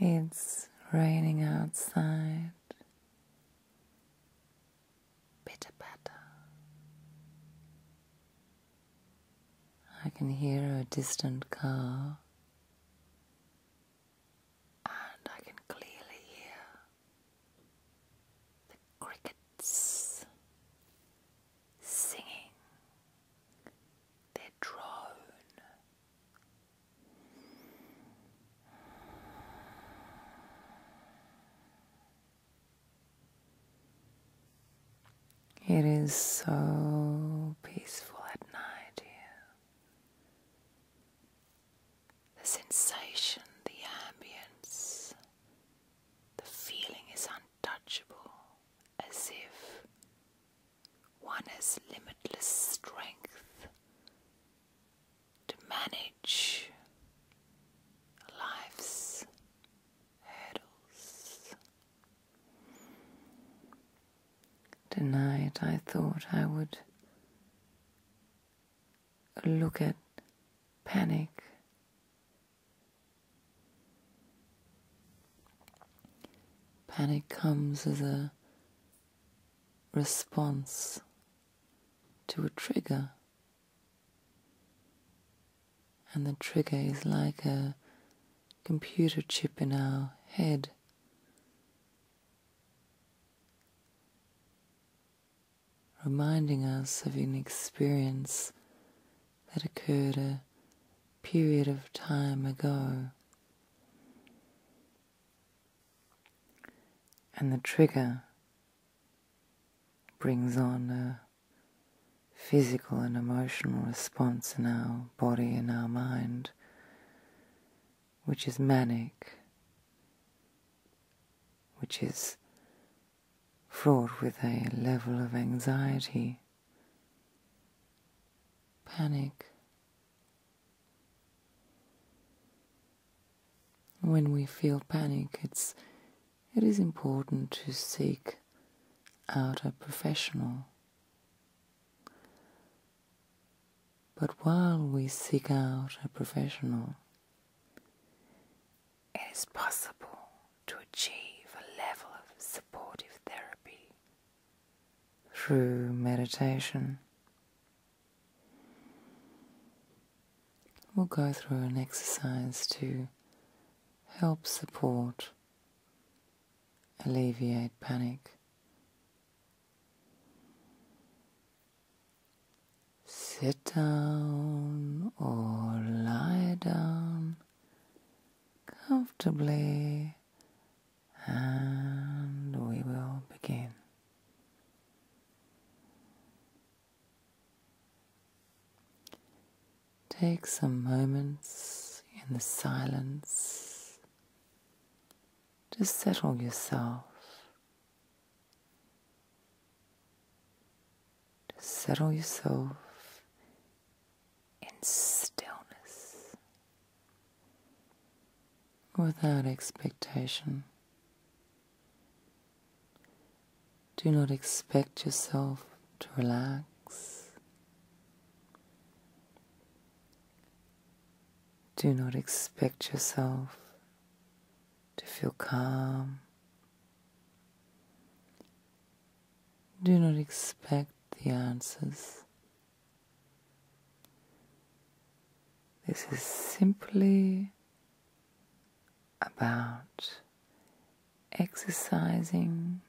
It's raining outside. Bitter patter. I can hear a distant car, and I can clearly hear the crickets singing their drone. It is so peaceful at night here. The sensation, the ambience, the feeling is untouchable, as if one has limitless strength to manage lives Tonight I thought I would look at panic. Panic comes as a response to a trigger and the trigger is like a computer chip in our head. Reminding us of an experience that occurred a period of time ago. And the trigger brings on a physical and emotional response in our body in our mind, which is manic, which is fraught with a level of anxiety, panic. When we feel panic, it's, it is important to seek out a professional but while we seek out a professional, it is possible to achieve a level of supportive therapy through meditation. We'll go through an exercise to help support alleviate panic. Sit down or lie down comfortably and we will begin. Take some moments in the silence to settle yourself, to settle yourself in stillness without expectation. Do not expect yourself to relax. Do not expect yourself to feel calm. Do not expect the answers. This is simply about exercising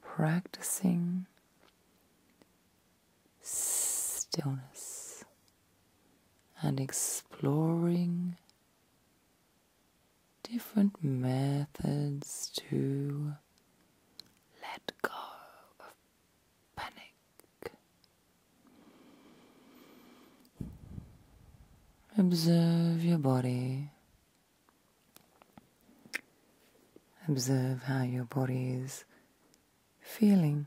practicing stillness and exploring different methods to let go of panic. Observe your body Observe how your body is feeling.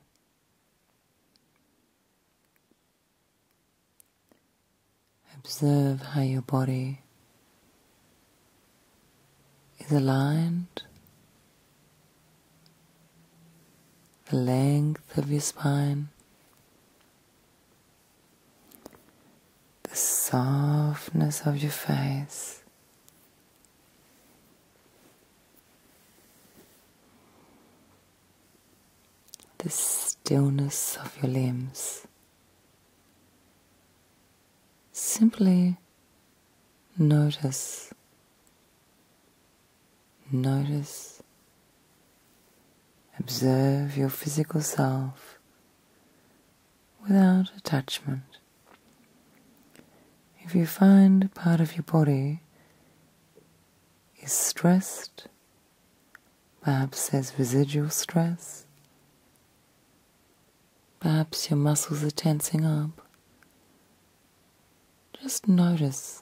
Observe how your body is aligned, the length of your spine, the softness of your face. The stillness of your limbs. Simply notice, notice, observe your physical self without attachment. If you find part of your body is stressed, perhaps there's residual stress, perhaps your muscles are tensing up, just notice.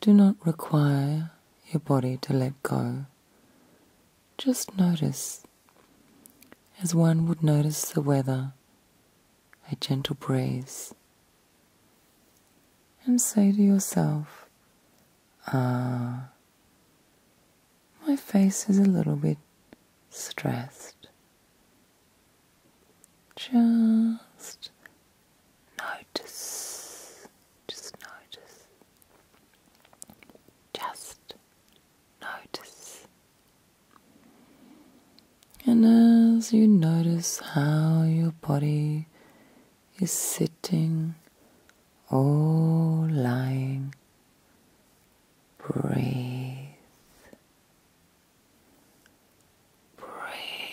Do not require your body to let go just notice, as one would notice the weather, a gentle breeze, and say to yourself, Ah, my face is a little bit stressed. Just notice. Just notice. Just notice. And as you notice how your body is sitting or lying, breathe. Breathe.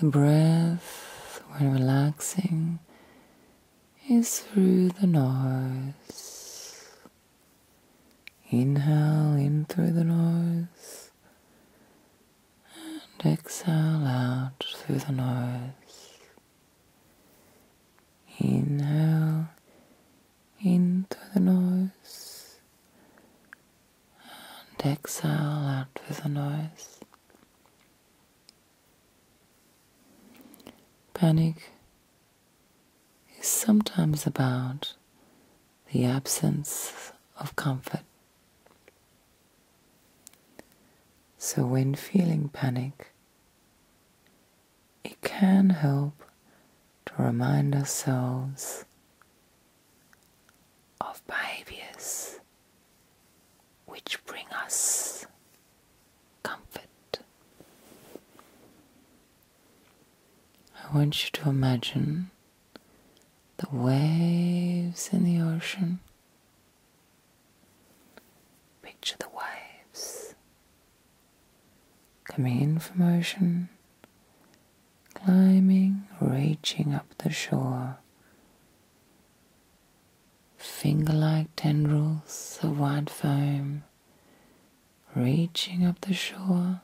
The breath when relaxing is through the nose. Inhale in through the nose and exhale out through the nose. Inhale in through the nose and exhale out with the nose. Panic is sometimes about the absence of comfort. So, when feeling panic, it can help to remind ourselves of behaviors which bring us comfort. I want you to imagine the waves in the ocean. Picture the waves Coming in from ocean, climbing, reaching up the shore. Finger like tendrils of white foam reaching up the shore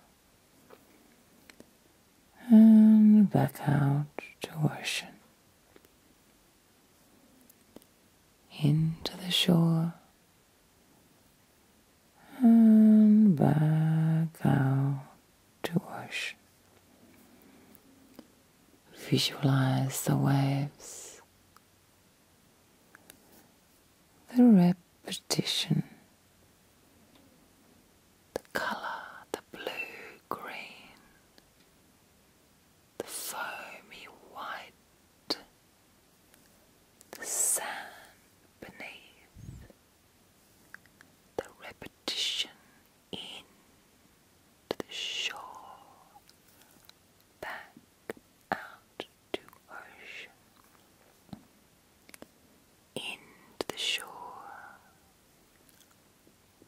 and back out to ocean. Into the shore and back out to wash. Visualize the waves, the repetition, the color, the blue green, the foamy white the sand beneath, the repetition in the shore, back out to ocean, into the shore,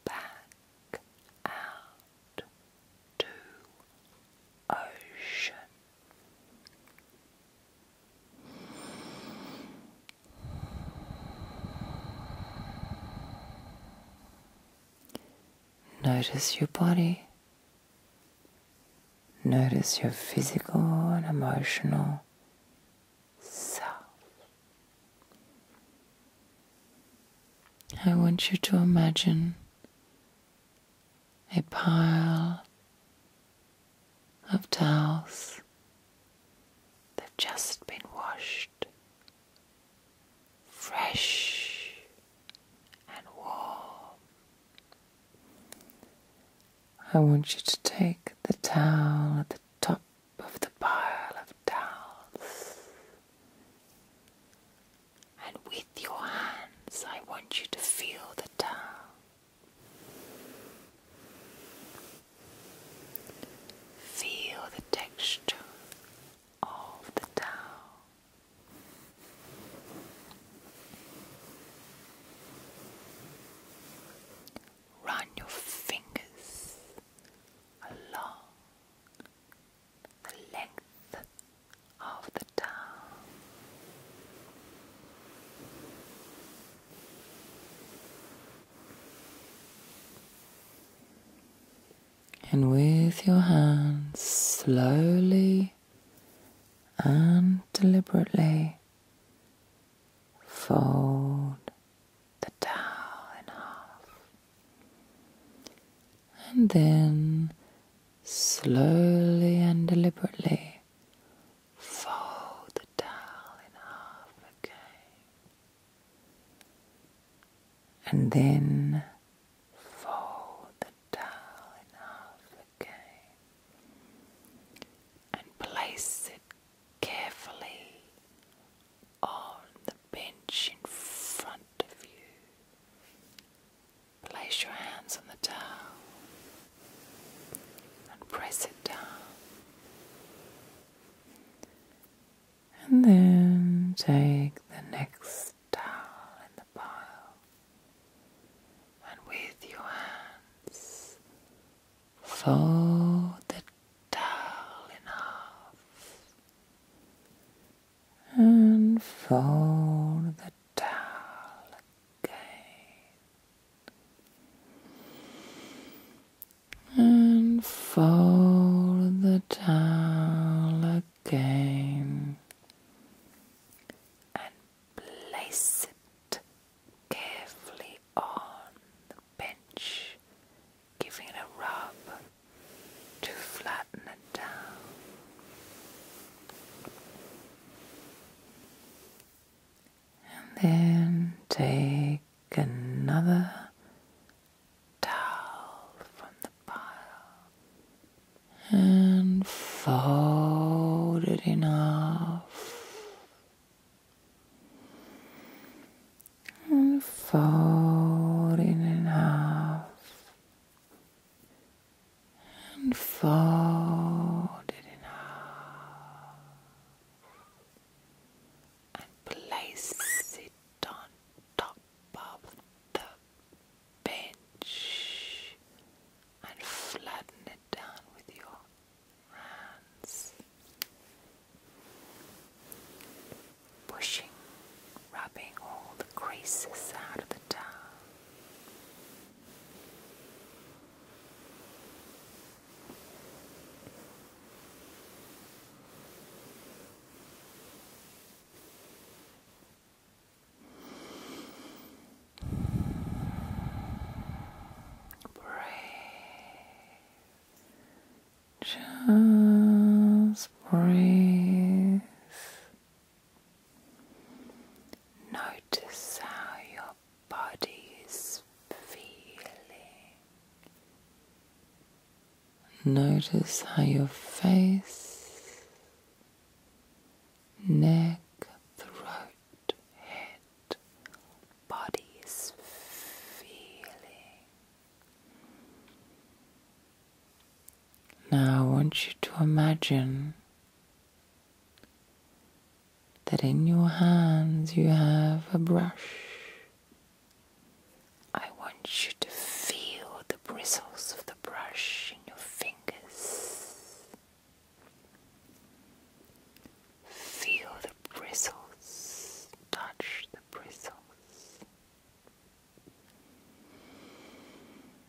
back out to ocean. Notice your body. Notice your physical and emotional self. I want you to imagine a pile of towels. They've just been washed, fresh and warm. I want you to take the towel at the top of the pile of towels, and with your hands, I want you to feel the towel Feel the texture of the towel. Run your fingers along the length of the town. And with your hands, slowly and deliberately fold the towel in half. And then slowly and deliberately fold the towel in half again, and then fold the towel in half again, and place it carefully on the bench in front of you. Place your hands on the towel and press it down. And then take the next towel in the pile and with your hands fold the towel in half and fold the down again and fold the towel again and place it carefully on the bench, giving it a rub to flatten it down. And then take another towel from the pile and fold it in half and fold it in half and fold it in half and place it on top of the bench and flatten it down with your hands, pushing, rubbing all the creases out of the towel. Breathe. Just breathe Notice how your body is feeling. Notice how your face, neck, throat, head, body is feeling. Now I want you to imagine that in your hands you have a brush. I want you to feel the bristles of the brush in your fingers. Feel the bristles, touch the bristles.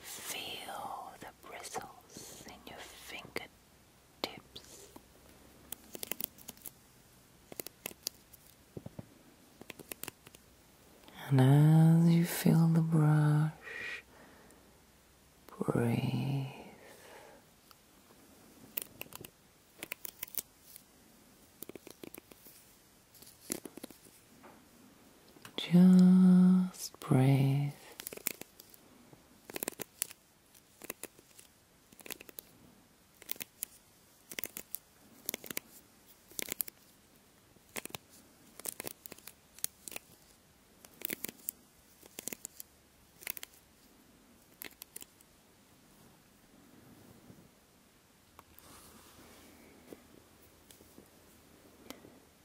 Feel the bristles in your fingertips. And as you feel the brush, breathe. Just breathe.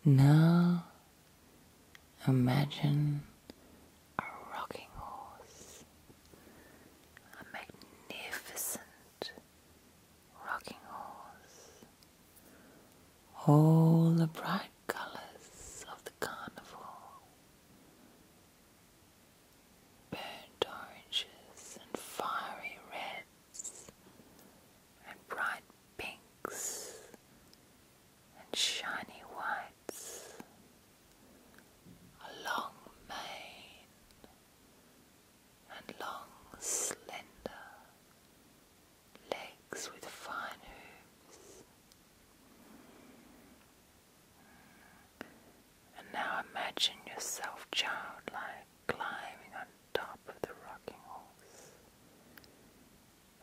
Now imagine a rocking horse, a magnificent rocking horse. All the bright colors of the carnival, burnt oranges and fiery reds and bright pinks and shiny whites, a long mane and long slender legs with fine hooves. And now imagine yourself, childlike, climbing on top of the rocking horse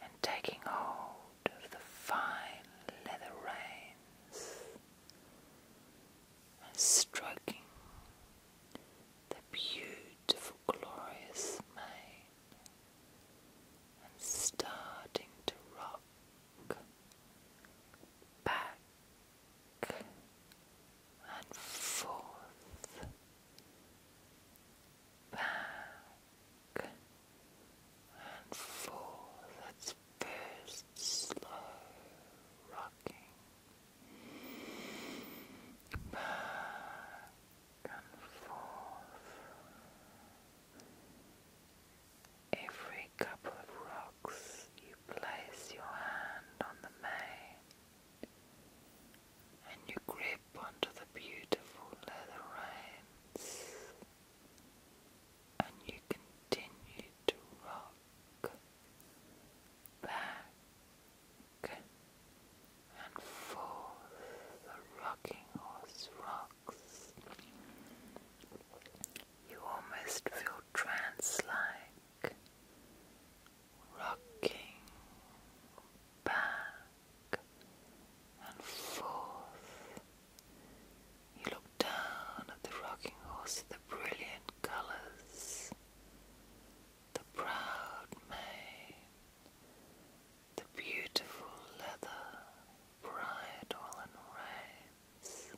and taking hold of the fine leather reins and stroking the beautiful, glorious mane and starting to rock back and forth, back and forth. That's first slow rocking, back and forth. Every couple of rocks, you place your hand on the mane and you grip onto the beautiful leather reins and you continue to rock back and forth. The rocking horse rocks. You almost feel trance like rocking back and forth. You look down at the rocking horse, the brilliant colours, the proud mane, the beautiful leather, bridle and reins,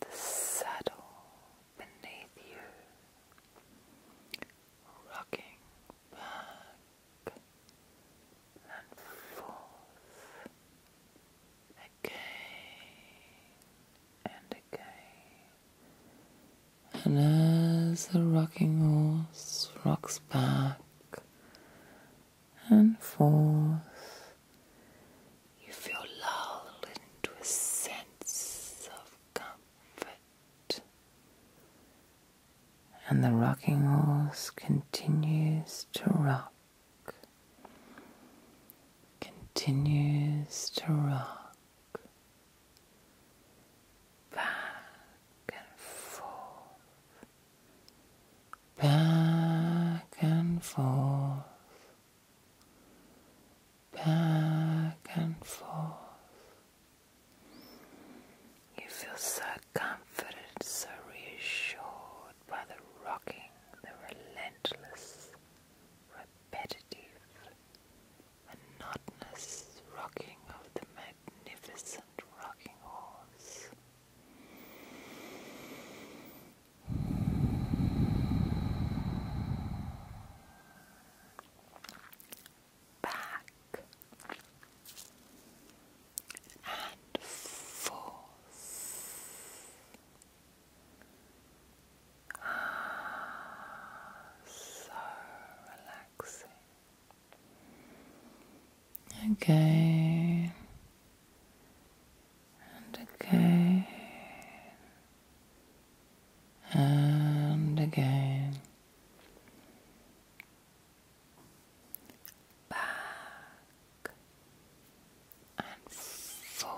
the saddle, beneath you, rocking back and forth again and again. And as the rocking horse rocks back and forth, you feel lulled into a sense of comfort and the rocking horse continues to rock, continues to rock back and forth, back and forth back and forth. You feel so comforted, so reassured by the rocking, the relentless, repetitive, monotonous rocking of the magnificent rocking horse back and forth. Ah, so relaxing. Again and again and again. Back and forth.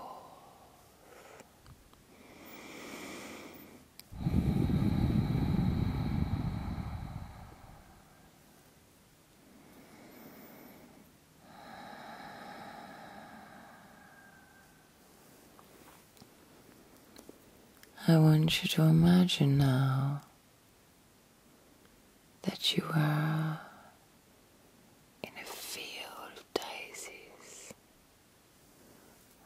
I want you to imagine now that you are in a field of daisies.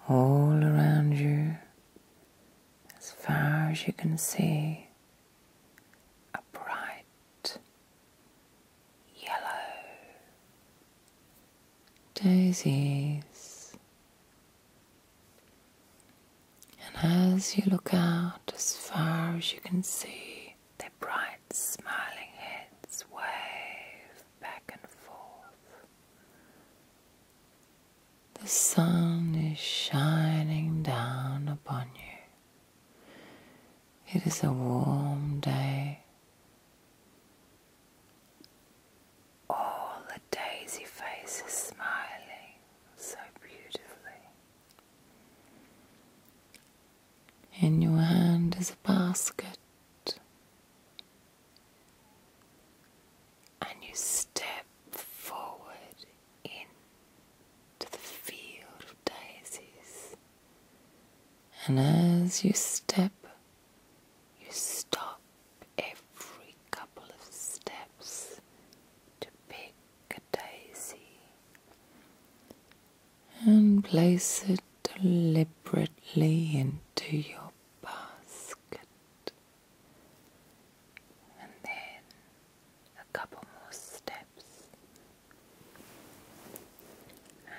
All around you, as far as you can see, a bright yellow daisies. And as you look out as far as you can see, their bright smiling heads wave back and forth. The sun is shining down upon you. It is a warm day. All the daisy faces smiling so beautifully. In your hand is a basket, and you step forward into the field of daisies. And as you step you stop every couple of steps to pick a daisy and place it deliberately into your basket, and then a couple more steps,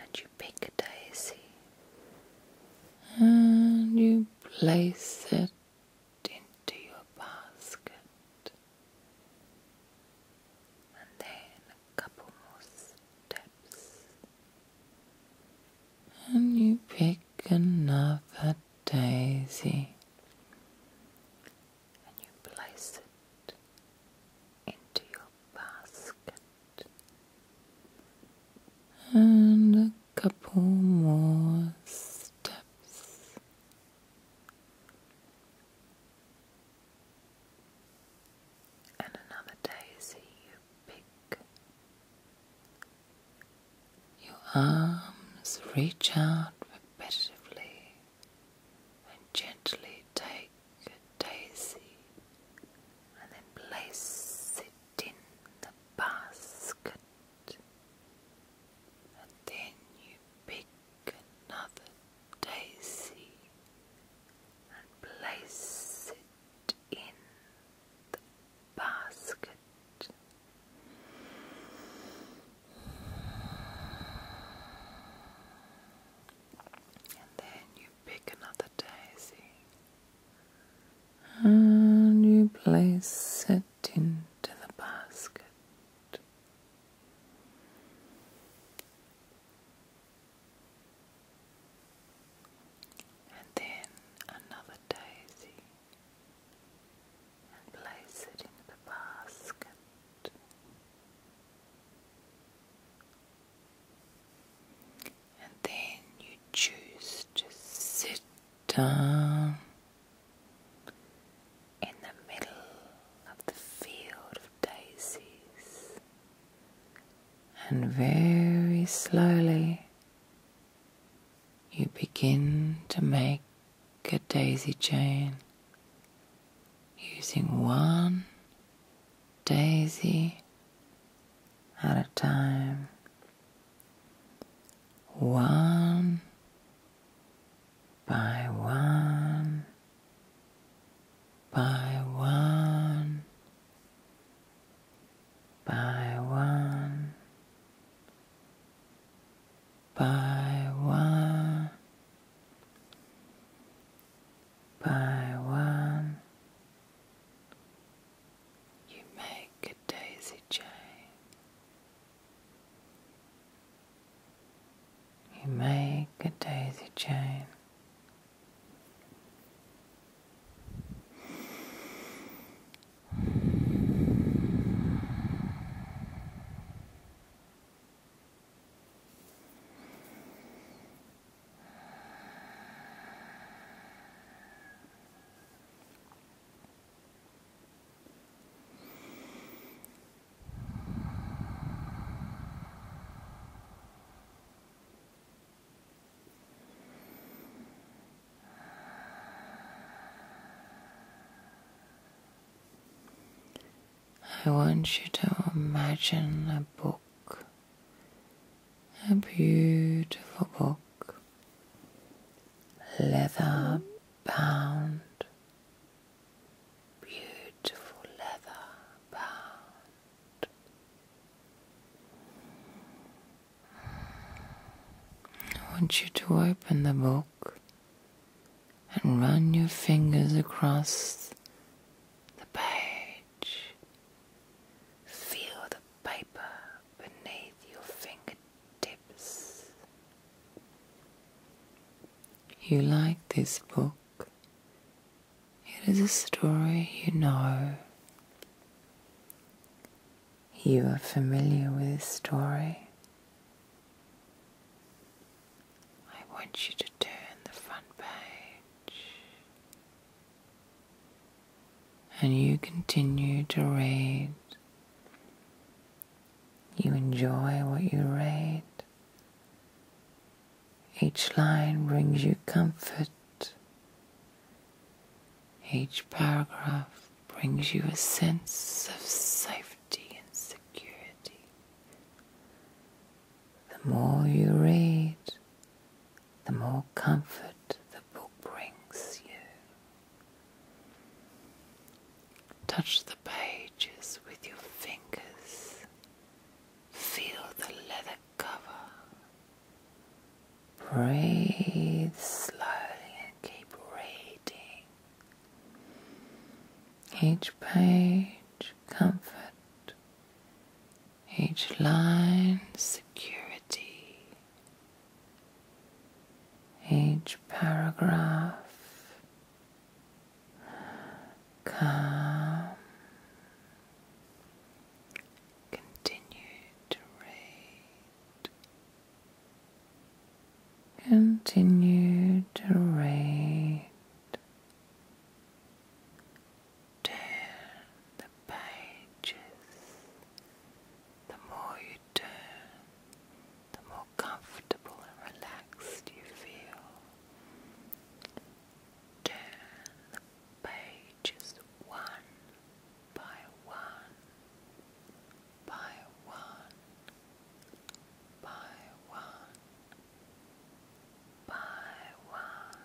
and you pick a daisy and you place it into your basket, and then a couple more steps, and you pick another daisy. And you place it into your basket, and a couple more steps. And another daisy you pick. Your arms reach out repetitively and gently take a daisy and then place it in the basket. And then you pick another daisy and place it in the basket. And then you pick another daisy and you place it into the basket. And then another daisy and place it in the basket. And then you choose to sit down in the middle of the field of daisies and very slowly you begin to make a daisy chain using one daisy at a time. One by one by one by one by one by one you make a daisy chain. You make a daisy chain. I want you to imagine a book a beautiful book, leather bound, beautiful leather bound. I want you to open the book and run your fingers across the page. Feel the paper beneath your fingertips. You like this book. It is a story you know. You are familiar with the story. I want you to turn the front page and you continue to read. You enjoy what you read. Each line brings you comfort. Each paragraph brings you a sense of safety and security. The more you read, the more comfort the book brings you. Touch the pages with your fingers. Feel the leather cover. Breathe slowly and keep reading. Each page, comfort, each line security, each paragraph calm. Continue to read. Continue to read turn the pages, the more you turn, the more comfortable and relaxed you feel. Turn the pages one by one, by one, by one, by one. By one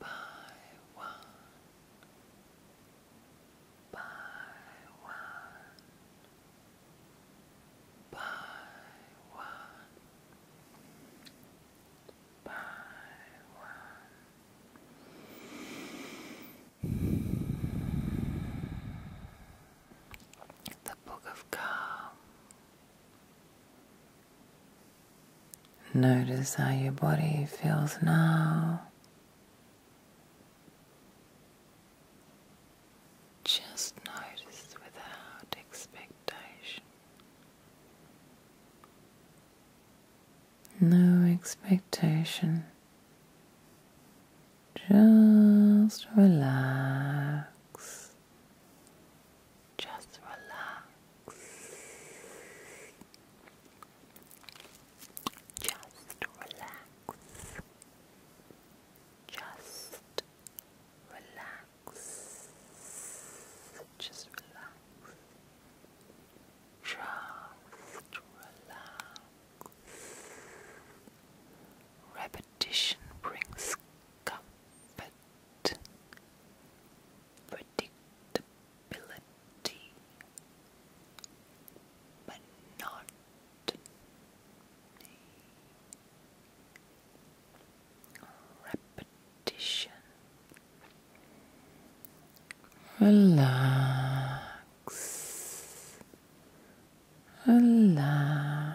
by one, by one, by one, by one. The Book of God. Notice how your body feels now. Just notice without expectation. No expectation. Just relax. Just relax. Just relax. Just relax. Just relax. Just relax. Repetition brings comfort predictability, but repetition. Relax, relax.